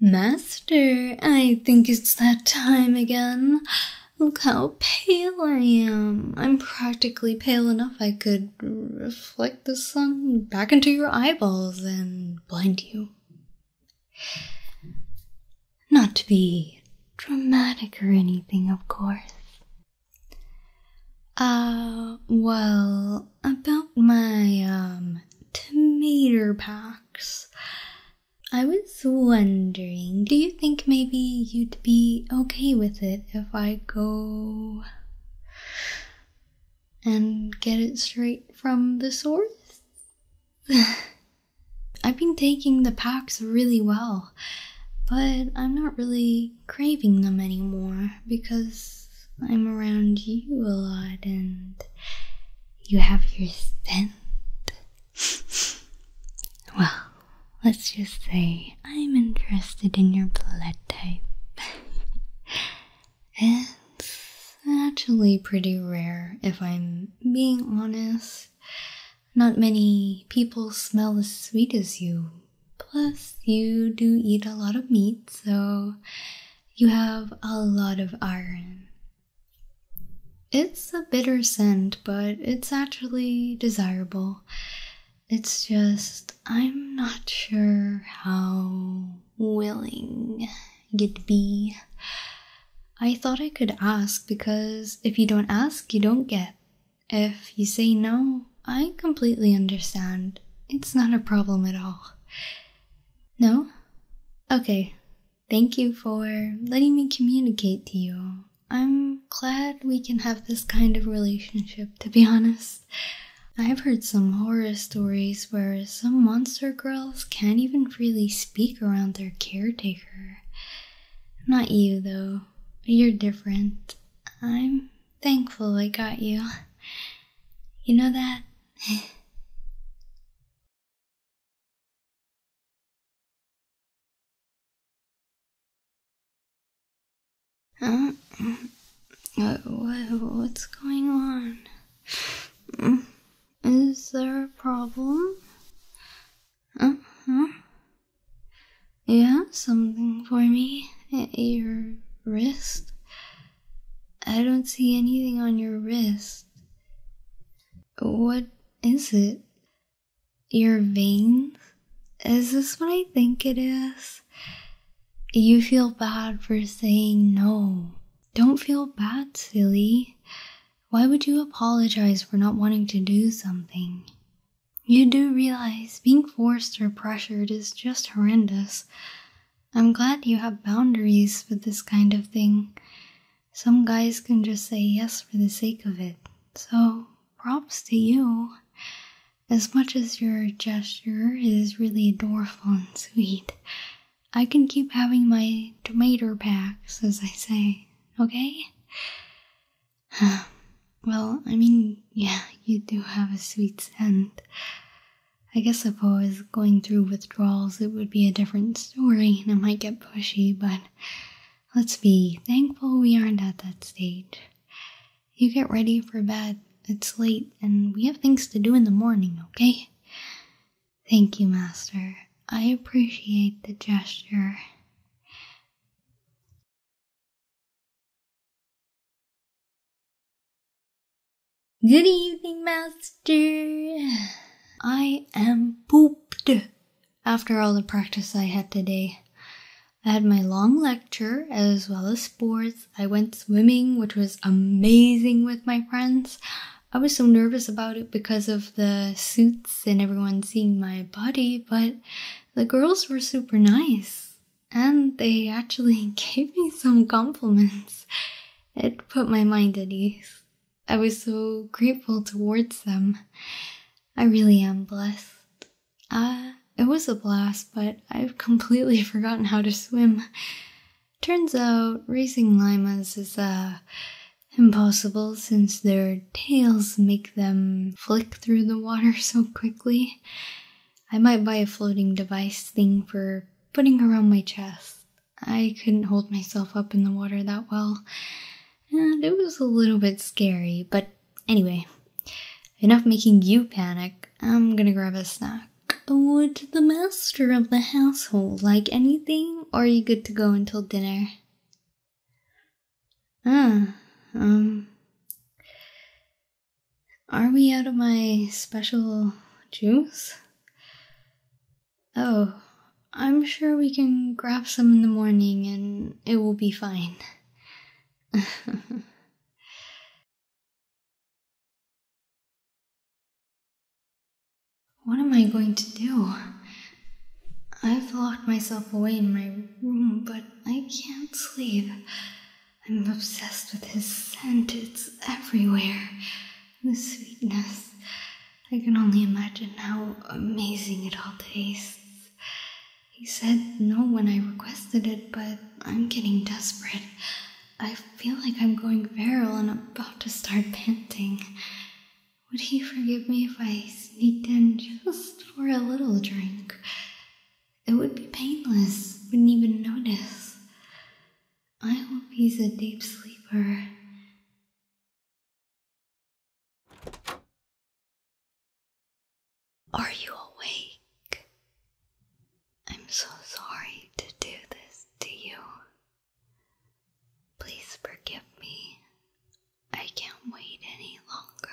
Master, I think it's that time again. Look how pale I am. I'm practically pale enough I could reflect the sun back into your eyeballs and blind you. Not to be dramatic or anything, of course. Ah, well, about my um tomato packs, I was wondering, do you think maybe you'd be okay with it if I go and get it straight from the source? I've been taking the packs really well, but I'm not really craving them anymore because I'm around you a lot and you have your scent. well, let's just say I'm interested in your blood type. it's actually pretty rare, if I'm being honest. Not many people smell as sweet as you. Plus, you do eat a lot of meat, so you have a lot of iron. It's a bitter scent, but it's actually desirable. It's just, I'm not sure how willing you'd be. I thought I could ask because if you don't ask, you don't get. If you say no, I completely understand. It's not a problem at all. No? Okay. Thank you for letting me communicate to you. I'm glad we can have this kind of relationship, to be honest. I've heard some horror stories where some monster girls can't even freely speak around their caretaker. Not you, though. You're different. I'm thankful I got you. You know that? uh, what's going on? Is there a problem? Uh huh. You have something for me? at your wrist? I don't see anything on your wrist. What is it? Your veins? Is this what I think it is? You feel bad for saying no. Don't feel bad, silly. Why would you apologize for not wanting to do something? You do realize being forced or pressured is just horrendous. I'm glad you have boundaries for this kind of thing. Some guys can just say yes for the sake of it. So, props to you. As much as your gesture is really adorable and sweet, I can keep having my tomato packs, as I say, okay? Well, I mean, yeah, you do have a sweet scent. I guess if I was going through withdrawals, it would be a different story and I might get pushy, but let's be thankful we aren't at that stage. You get ready for bed, it's late, and we have things to do in the morning, okay? Thank you, Master. I appreciate the gesture. Good evening, Master. I am pooped after all the practice I had today. I had my long lecture as well as sports. I went swimming, which was amazing with my friends. I was so nervous about it because of the suits and everyone seeing my body, but the girls were super nice and they actually gave me some compliments. It put my mind at ease. I was so grateful towards them. I really am blessed. Uh, it was a blast, but I've completely forgotten how to swim. Turns out, racing limas is, uh, impossible since they're tails make them flick through the water so quickly. I might buy a floating device thing for putting around my chest. I couldn't hold myself up in the water that well, and it was a little bit scary, but anyway, enough making you panic. I'm gonna grab a snack. Would the master of the household like anything, or are you good to go until dinner? Ah, um. Are we out of my special juice? Oh, I'm sure we can grab some in the morning and it will be fine. what am I going to do? I've locked myself away in my room, but I can't sleep. I'm obsessed with his scent, it's everywhere. The sweetness. I can only imagine how amazing it all tastes. He said no when I requested it, but I'm getting desperate. I feel like I'm going viral and about to start panting. Would he forgive me if I sneaked in just for a little drink? It would be painless, wouldn't even notice. I hope he's a deep sleeper. Are you awake? I'm so sorry to do this to you. Please forgive me. I can't wait any longer.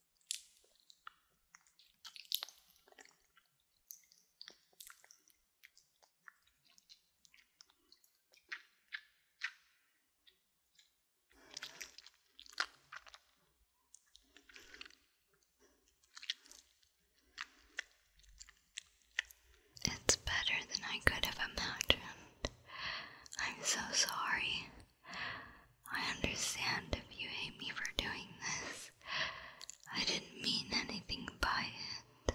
It's better than I could have imagined. I'm so sorry. I understand if you hate me for doing this. I didn't mean anything by it.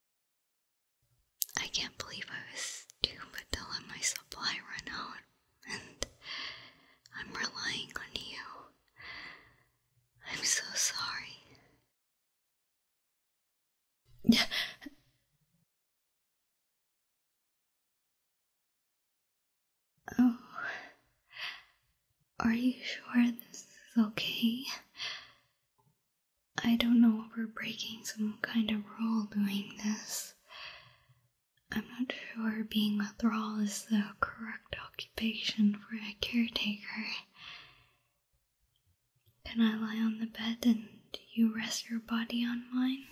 I can't believe I was stupid to let my supply run out, and I'm relying on you. I'm so sorry. Oh, are you sure this is okay? I don't know if we're breaking some kind of rule doing this. I'm not sure being a thrall is the correct occupation for a caretaker. Can I lie on the bed and you rest your body on mine?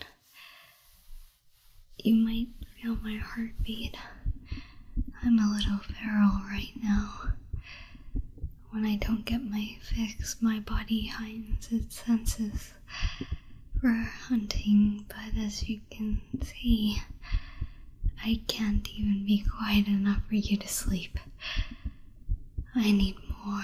You might feel my heartbeat. I'm a little feral right now. When I don't get my fix, my body heightens its senses for hunting, but as you can see, I can't even be quiet enough for you to sleep. I need more.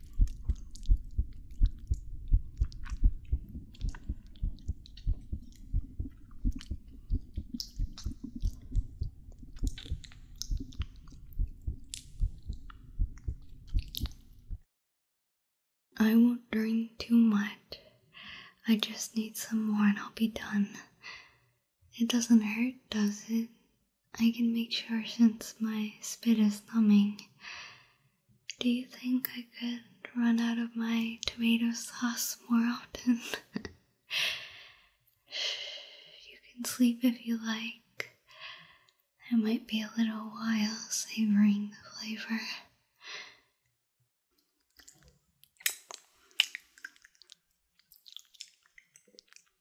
I won't drink too much. I just need some more and I'll be done. It doesn't hurt, does it? I can make sure since my spit is numbing. Do you think I could run out of my tomato sauce more often? you can sleep if you like. I might be a little while savoring the flavor.